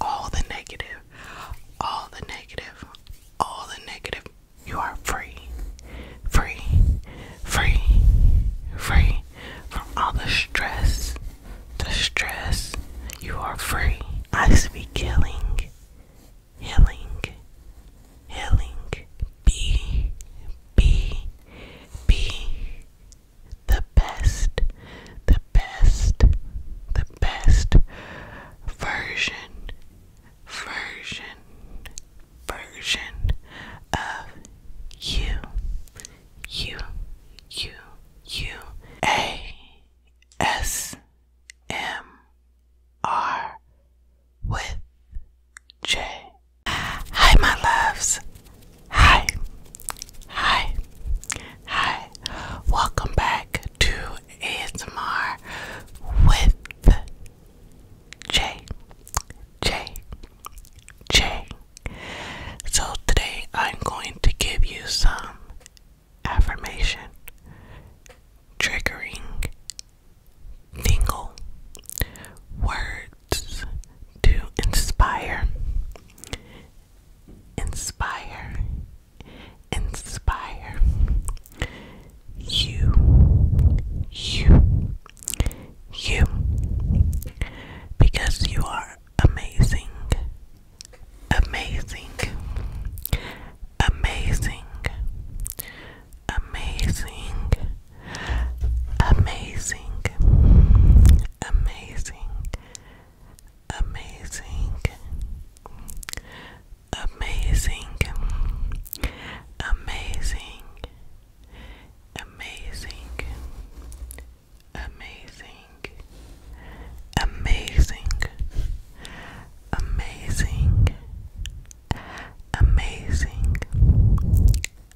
all the negative, all the negative, all the negative. You are free, free, free, free from all the stress. The stress. You are free. I speak healing, healing, healing. Be, be, be, the best, the best, the best version, version, version of you, you, you, you. A S M R with J. Hi, my loves. Hi. Hi. Hi, welcome back to ASMR with Jay, Jay, Jay. So today I'm going to give you some affirmation, triggering, tingle, words to inspire inspire, inspire you, you, you, because you are amazing, amazing, amazing, amazing, amazing, amazing amazing, amazing, amazing, amazing, amazing, amazing, amazing, amazing,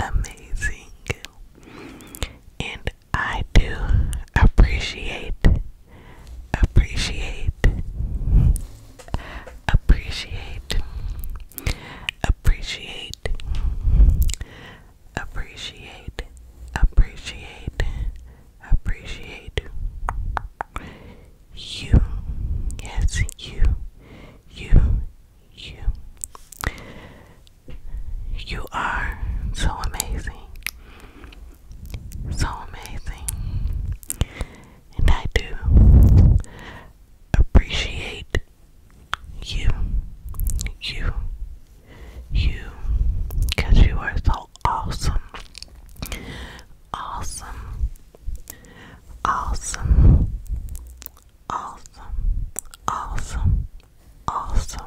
amazing, and I do appreciate, appreciate, appreciate, appreciate, appreciate, appreciate, appreciate you. Yes, you, you, you. You are so amazing. So amazing. And I do appreciate you. You. You. you are so awesome. Awesome. Awesome. Awesome. Awesome. Awesome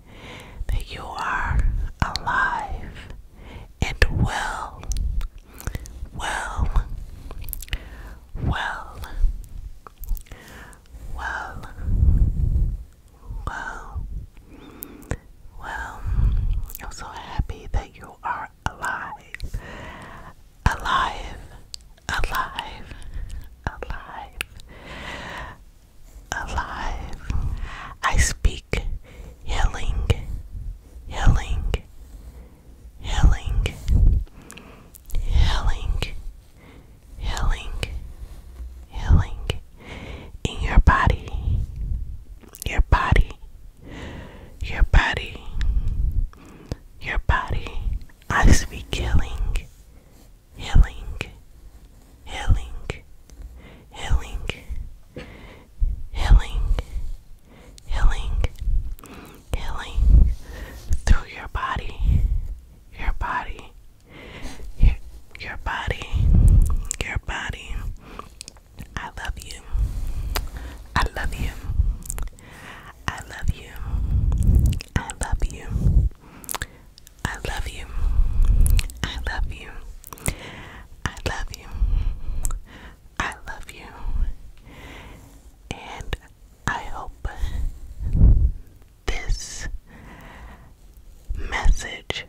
that you are alive and well, well, well, well, well, well. I'm so happy that you are alive, alive, alive, alive alive. I speak healing, healing, healing, healing, healing, healing in your body, your body, your body, your body. I speak healing, healing, healing, healing, healing, healing, healing through your body, your body, your, your body, your body. I love you. I love you. I love you. I love you. I love you. I love you. I love you. I love you. And I hope this message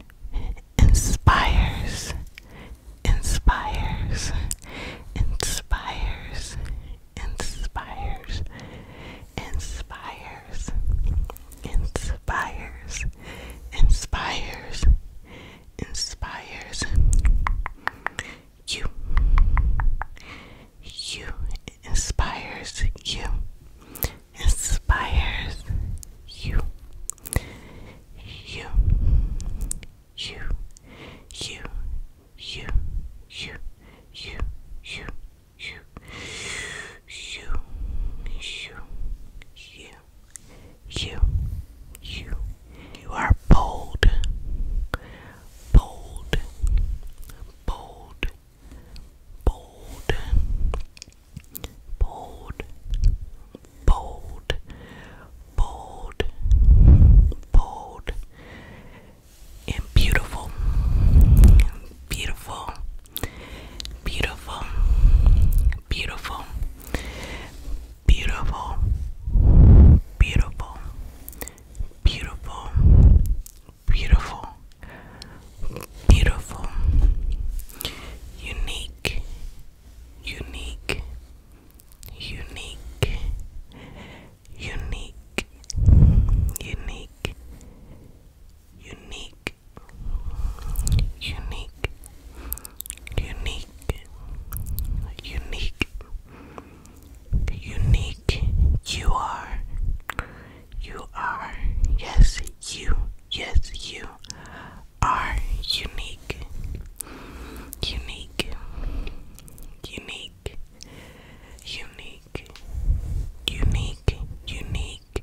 inspires, inspires, inspires, inspires, inspires, inspires, inspires, inspires you. You inspires you, inspires you, you, you, you, you, you, you, you, you, you, you, you, you. You are bold, bold, bold, bold, bold, bold, bold, bold, and beautiful, beautiful. Beautiful, beautiful, beautiful, beautiful, beautiful, beautiful, beautiful, unique, unique, unique, unique, unique unique, unique, unique, unique, unique. You are, you are, yes, you, yes, you are unique, unique, unique. Unique, unique, unique,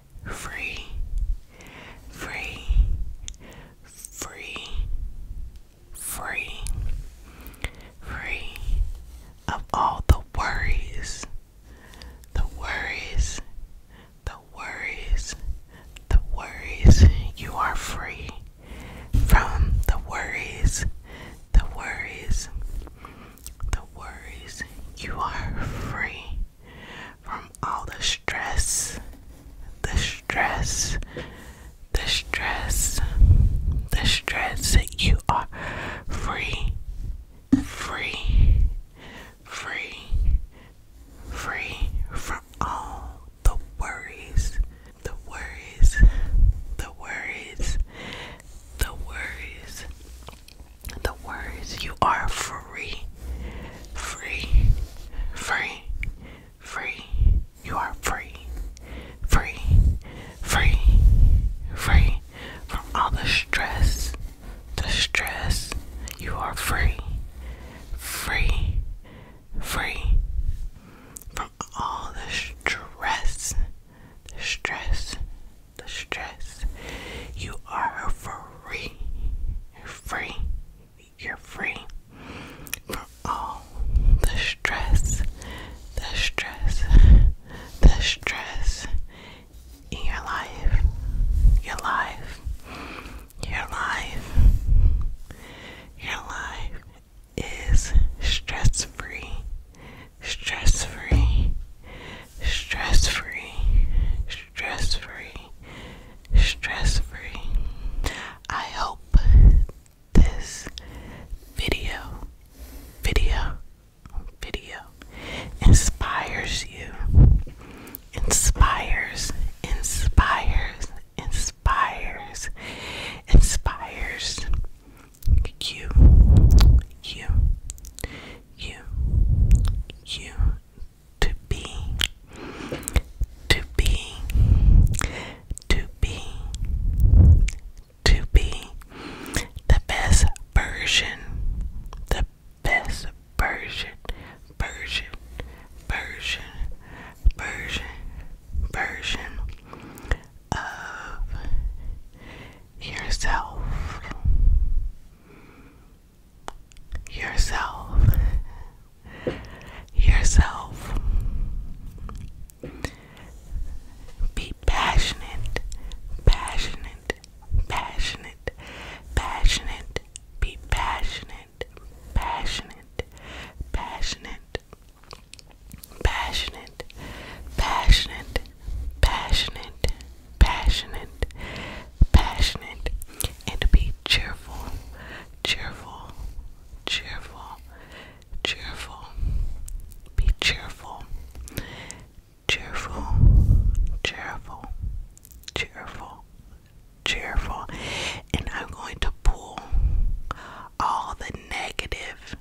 free, free, free, free, free of all the worries, the worries, the worries, the worries. You are free from the worries, the worries the worries. You are free from all the stress, the stress, the stress, the stress. You are free, free, free, free from all the worries, the worries, the worries, the worries, the words you are free free free free you are free free free free from all the stress the stress you are free free free from all the stress the stress, the stress. You are free. You're free. You're free from all the stress, the stress, the stress in your life, your life, your life, your life is stress free, stress free, stress free, stress free, stress free. I hope this video, video, video inspires you, inspires, inspires, inspires, inspires, you, you, you, you, to be, to be, to be, to be the best version, the best version, version, version, version, version of yourself. Yourself. Yourself. Be passionate, passionate, passionate, passionate, be passionate, passionate, passionate, passionate, passionate, passionate, passionate, passionate, and be cheerful, cheerful, cheerful, cheerful, be cheerful, cheerful, cheerful, cheerful, cheerful, and I'm going to pull all the negative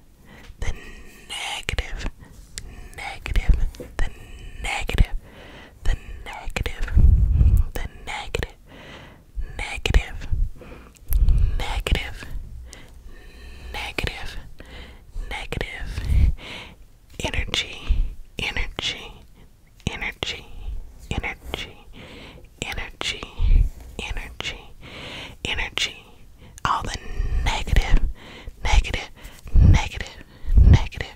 the negative, negative, the negative, the negative, the negative, negative, negative, negative, negative, energy, energy, energy, energy, energy, energy, energy, all the negative, negative, negative, negative,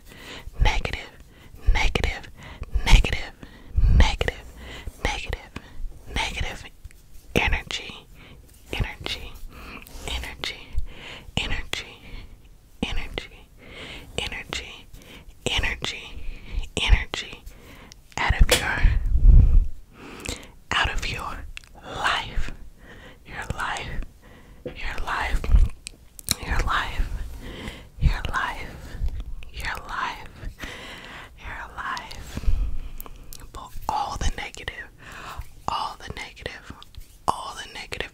negative, negative, negative, negative, negative, negative energy, energy, energy, energy, energy, energy, energy, energy out of your out of your life, your life, your life, your life, your life, your life, your life. But all the negative, all the negative, all the negative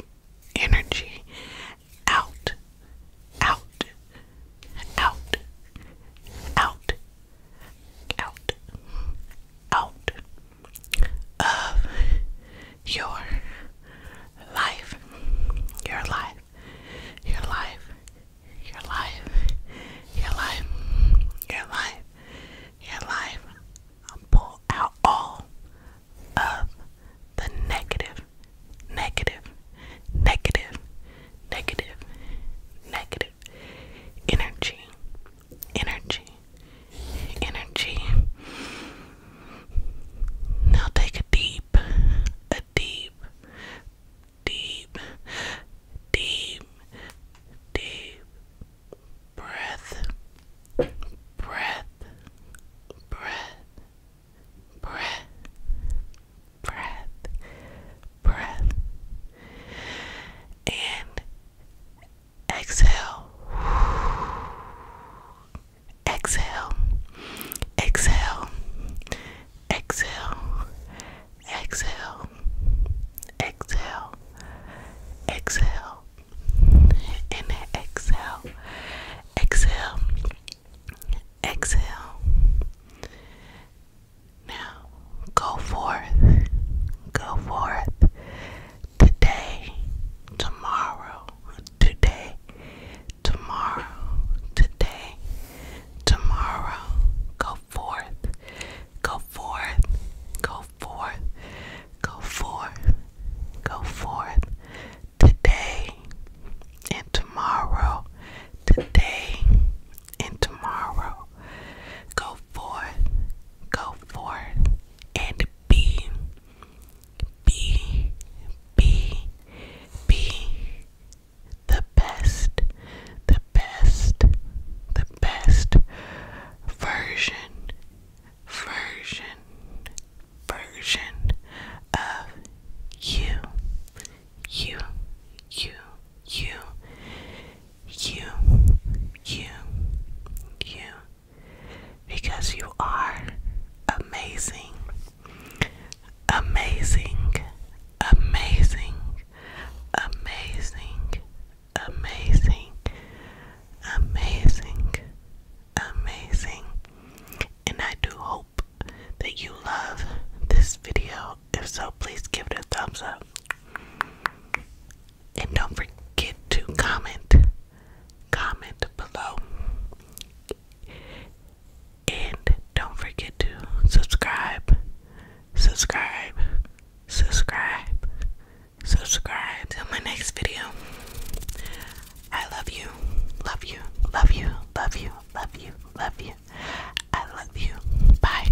energy out, out, out, out, out, out of your life, your life, your life, your life, your life, your life, your life. Pull out all of the negative, negative, negative, negative, negative energy, energy, energy. Now take a deep, a deep, deep, deep, deep breath, breath, breath, breath, breath, breath, and Exhale. Exhale. Exhale. Exhale. Exhale. Exhale. Exhale. Inhale. Exhale. Exhale. Exhale. Now go forth, go forth today, tomorrow, today, tomorrow, today, tomorrow. Go forth, go forth, go forth, go forth, go forth today and tomorrow, today and tomorrow. Go forth, go forth, and be, be, be, be the best, the best, the best version, version, version of you, you, you, you you, you, you, because you are amazing, amazing, amazing, amazing, amazing, amazing, amazing. And I do hope that you love this video. If so, please give it a thumbs up. And don't forget to comment, comment below. And don't forget to subscribe, subscribe, subscribe, subscribe. Till my next video. I love you, love you, love you, love you, love you, love you. I love you. Bye.